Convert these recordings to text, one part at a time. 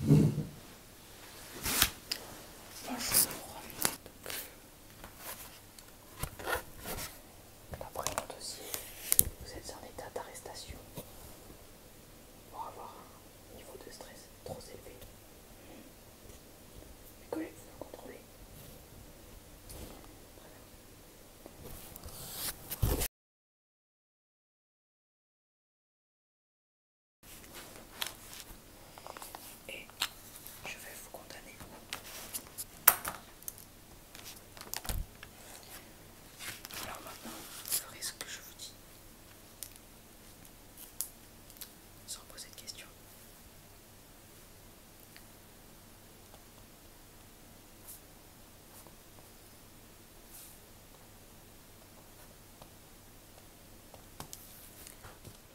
Bonjour. D'après mon dossier, vous êtes en état d'arrestation pour avoir un niveau de stress trop élevé. Mes collègues vais vous contrôler. Et je vais vous condamner. Alors maintenant, vous ferez ce que je vous dis. Sans poser de questions.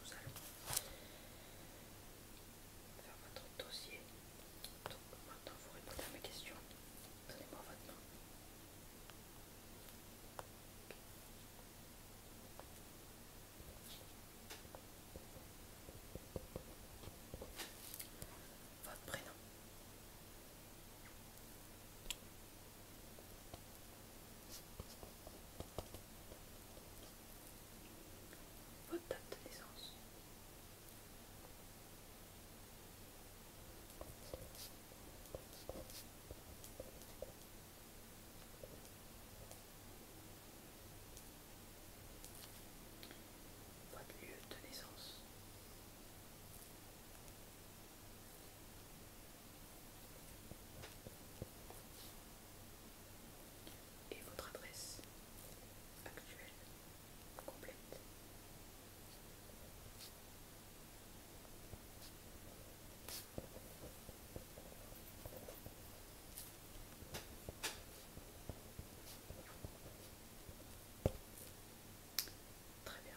Nous allons faire votre dossier maintenant, vous répondez à ma questions. Donnez-moi votre nom. Votre prénom. Votre date de naissance. Votre lieu de naissance. Et votre adresse actuelle complète. Très bien.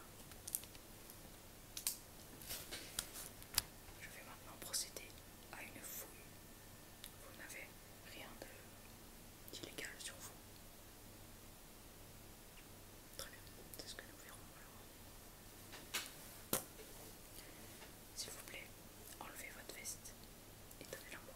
Je vais maintenant procéder à une fouille. Vous n'avez rien d'illégal sur vous. Très bien, c'est ce que nous verrons alors. S'il vous plaît, enlevez votre veste et donnez-la moi.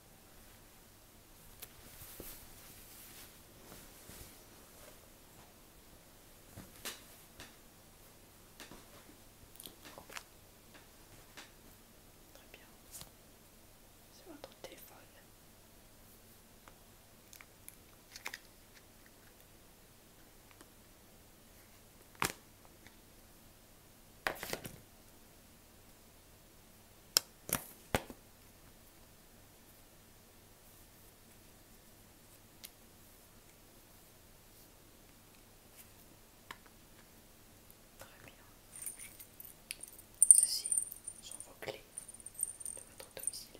Très bien. C'est votre téléphone. Très bien. Ceci sont vos clés de votre domicile.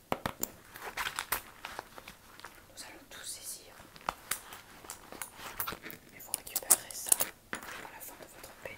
Nous allons tout saisir. Et vous récupérerez ça à la fin de votre paix.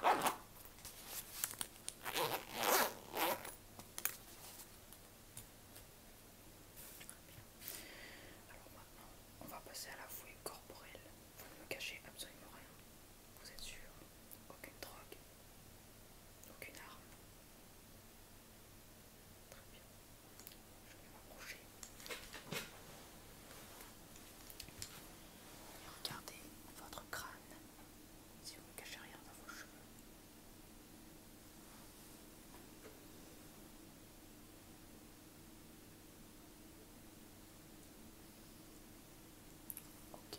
Alors maintenant, on va passer à la fouille corporelle. Vous ne me cachez absolument rien. Vous êtes sûr Aucune drogue Aucune arme Très bien. Je vais m'approcher. Et regardez votre crâne. Si vous ne cachez rien dans vos cheveux. Ok.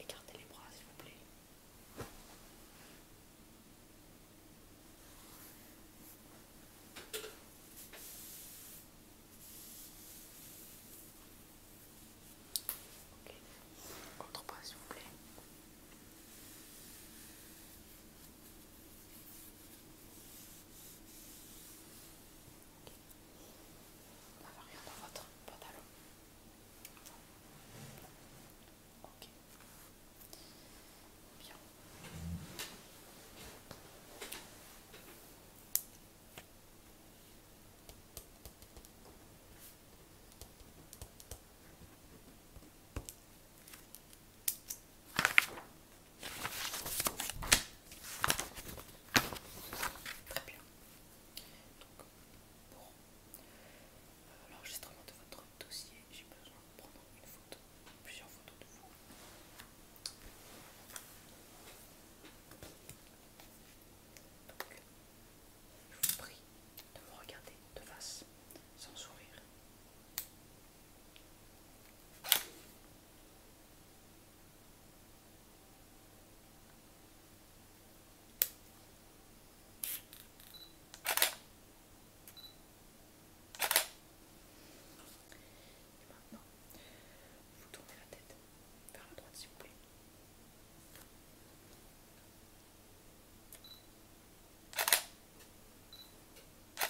Écartez les bras, s'il vous plaît. Ok, contre pas s'il vous plaît. On n'a rien dans votre pantalon. Ok. Bien. Très bien. Donc, pour euh, l'enregistrement de votre dossier, j'ai besoin de prendre une photo, plusieurs photos de vous je vous prie de me regarder de face, sans sourire. maintenant, vous tournez la tête vers la droite, s'il vous plaît. Très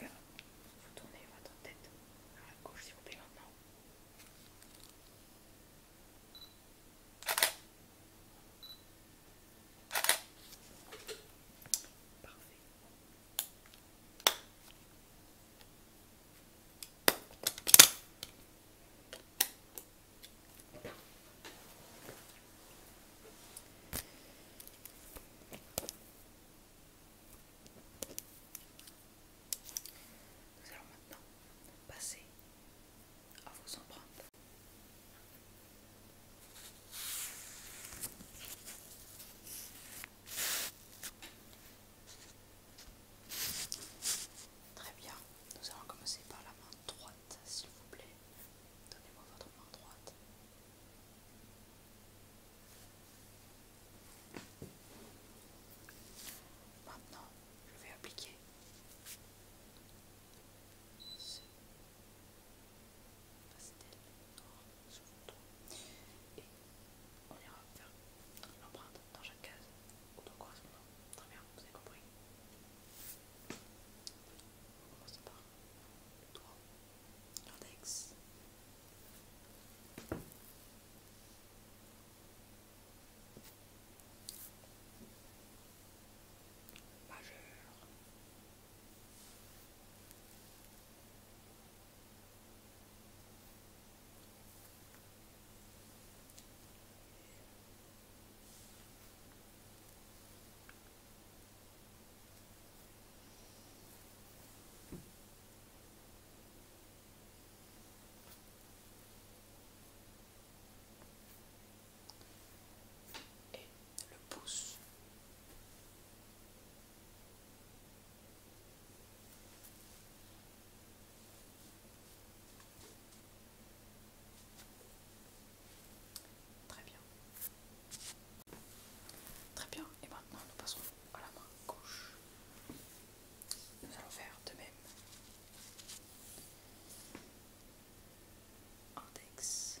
bien. tourner, Vous tournez votre tête vers la gauche, s'il vous plaît, maintenant. Parfait. Nous allons maintenant passer à vos empreintes. Très bien, nous allons commencer par la main droite, s'il vous plaît. Donnez-moi votre main droite. Maintenant, je vais appliquer sur et on ira faire l'empreinte dans chaque case au doigt correspondant. Très bien, vous avez compris. On commence par le doigt, l'index. Majeur, et le pouce. Très bien. Très bien. Et maintenant, nous passons à la main gauche. Nous allons faire de même. Index.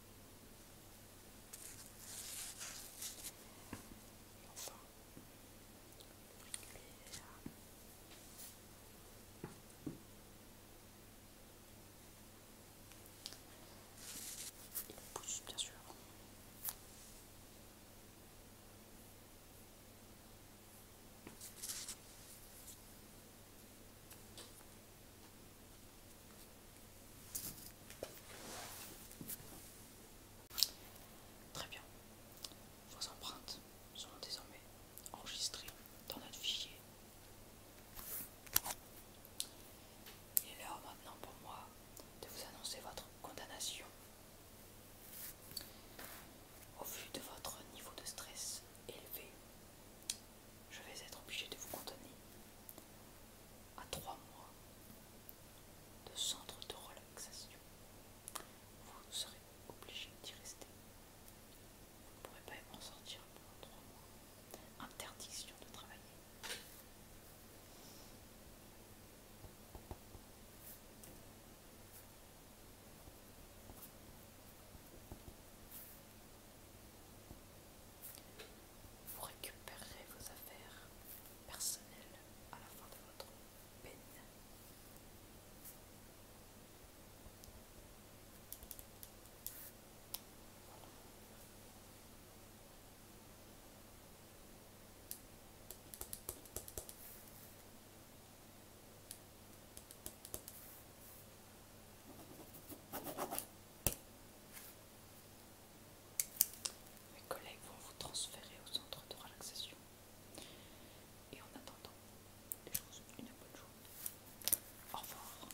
Il pousse bien sûr. Très bien. Vos empreintes sont désormais enregistrées dans notre fichier. Il est l'heure maintenant pour moi de vous annoncer votre condamnation. Au vu de votre niveau de stress élevé, je vais être obligé de vous condamner à trois mois de centre de relaxation. Vous serez obligé d'y rester. Vous ne pourrez pas en sortir pendant trois mois. Interdiction de travailler. Vous récupérerez vos affaires personnelles à la fin de votre peine. Mes collègues vont vous transférer au centre de relaxation. Et en attendant, je vous souhaite une bonne journée. Au revoir.